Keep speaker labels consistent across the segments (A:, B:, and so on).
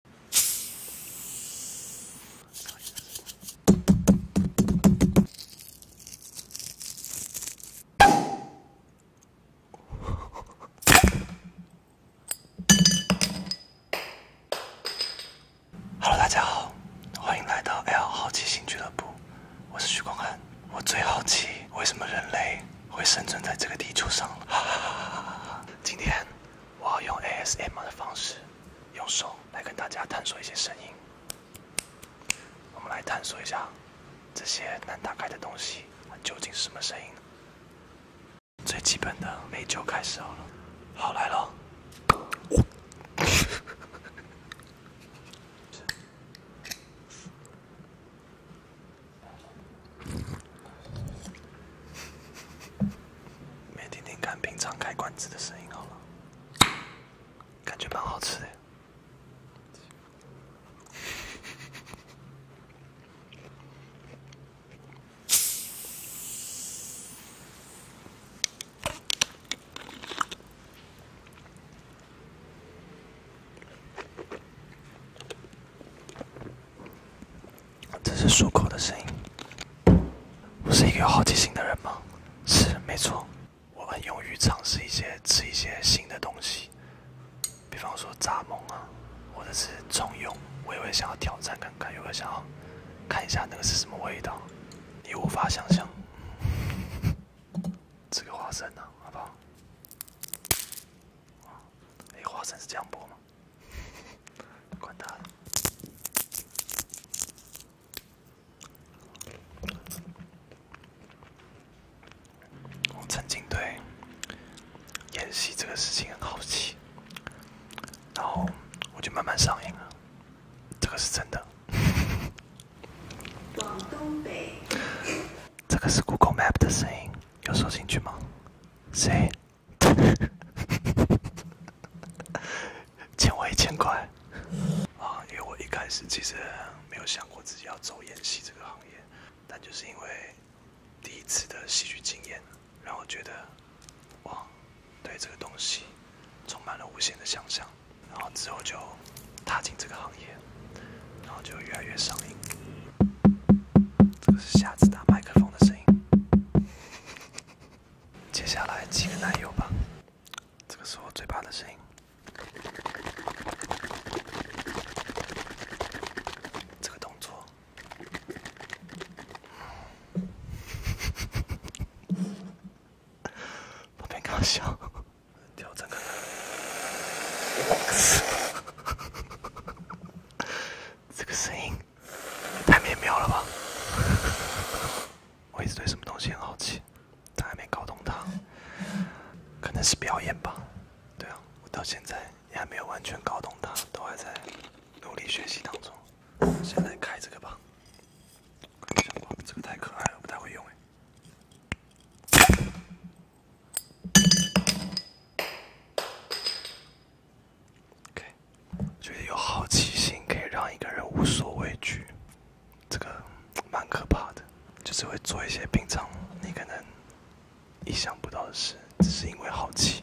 A: Hello，大家好，欢迎来到 L 好奇心俱乐部，我是徐光汉，我最好奇为什么人类会生存在这个地球上。今天。我要用 ASM 的方式，用手来跟大家探索一些声音。我们来探索一下这些难打开的东西，它究竟是什么声音呢？最基本的美酒开始好了，好来了。没听听看平常开罐子的声音好了，感觉蛮好吃的。这是漱口的声音。我是一个有好奇心的人吗？是，没错。我很勇于尝试一些吃一些新的东西，比方说炸梦啊，或者是重油，我也会想要挑战看看，也会想要看一下那个是什么味道，你无法想象。这个花生呢，好不好？哇！哎，花生是这样播吗？管他的。我曾经对演戏这个事情很好奇，然后我就慢慢上瘾了。这个是真的。往东北。这个是 Google Map 的声音，有收进去吗？谁？欠我一千块。啊，因为我一开始其实没有想过自己要走演戏这个行业，但就是因为第一次的戏剧经验，让我觉得，哇，对这个东西充满了无限的想象。然后之后就踏进这个行业，然后就越来越上瘾。这个是下次打麦克风的声音。接下来几个男友吧，这个是我嘴巴的声音。这个动作，我变搞笑。调整看。这个声音太美妙了吧！我一直对什么东西很好奇，但还没搞懂它，可能是表演吧？对啊，我到现在也还没有完全搞懂它，都还在努力学习当中。现在开这个吧。这个太可爱了，不太会用哎。觉得有好奇心可以让一个人无所畏惧，这个蛮可怕的，就是会做一些平常你可能意想不到的事，只是因为好奇。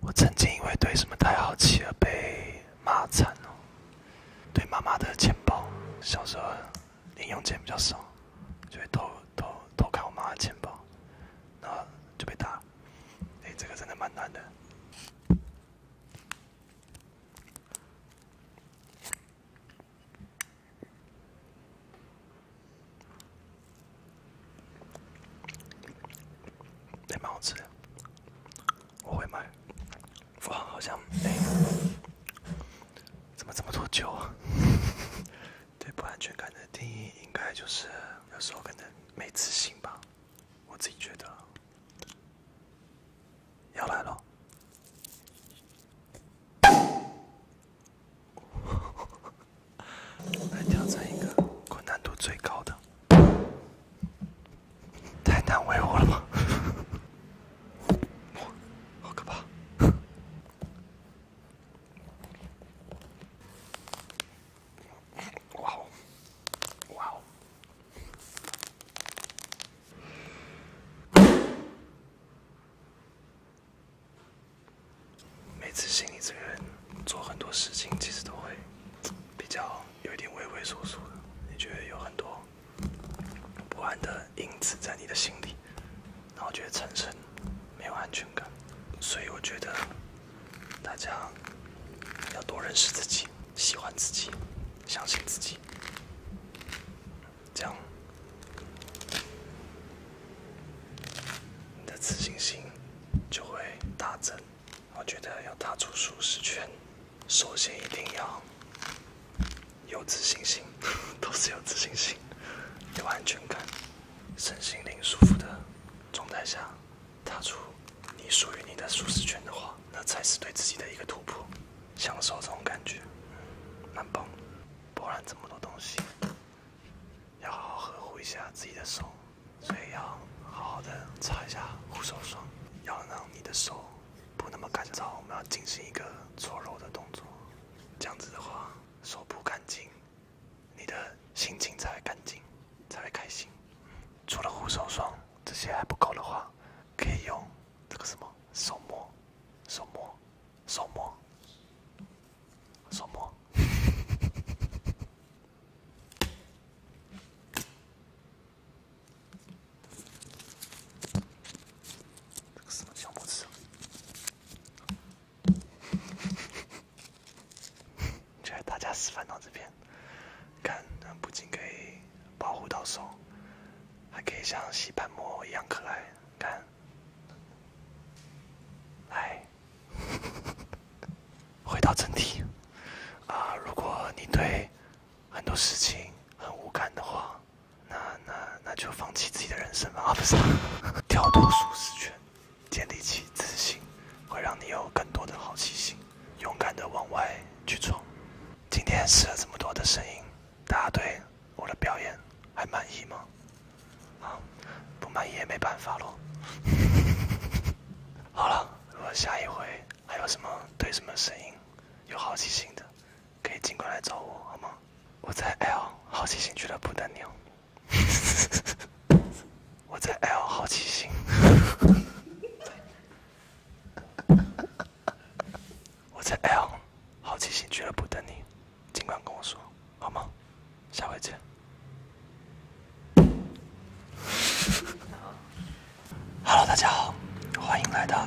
A: 我曾经因为对什么太好奇而被骂惨了。对妈妈的钱包，小时候零用钱比较少，就会偷偷偷看我妈的钱包，然后就被打。哎，这个真的蛮难的。也蛮好吃的，我会买。哇，好像香！怎么这么多酒啊？对，不安全感的定义应该就是有时候可能没自信吧，我自己觉得。要来了。来 挑战一个困难度最高的，太难为我了吗？好可怕！哇，哇！每次心理这个人做很多事情，其实都会比较有一点畏畏缩缩的，你觉得有很多不安的因子在你的心里，然后觉得产生没有安全感，所以我觉得大家要多认识自己，喜欢自己，相信自己。这样，你的自信心就会大增。我觉得要踏出舒适圈，首先一定要有自信心，都是有自信心，有安全感，身心灵舒服的状态下，踏出你属于你的舒适圈的话，那才是对自己的一个突破。享受这种感觉，蛮棒。不然这么多东西，要好好呵护一下自己的手，所以要好好的擦一下护手霜，要让你的手不那么干燥。我们要进行一个搓揉的动作，这样子的话，手不干净，你的心情才会干净，才会开心。除了护手霜，这些还不够的话，可以用这个什么手膜，手膜。送我，送我。这个什么小这 大家示范到这边，看不仅可以。保护到手，还可以像吸盘膜一样可爱。看，来，回到正题。啊，如果你对很多事情很无感的话，那那那就放弃自己的人生吧。啊，不是，跳脱舒适圈，建立起自信，会让你有更多的好奇心，勇敢地往外去闯。今天试了这么多的声音。大家对，我的表演还满意吗？啊，不满意也没办法喽。好了，如果下一回还有什么对什么声音有好奇心的，可以尽管来找我，好吗？我在 L 好奇心俱乐部等你。哦。我在 L 好奇心。我在 L 好奇心俱乐部等你，尽管跟我说，好吗？下回见。Hello，大家好，欢迎来到。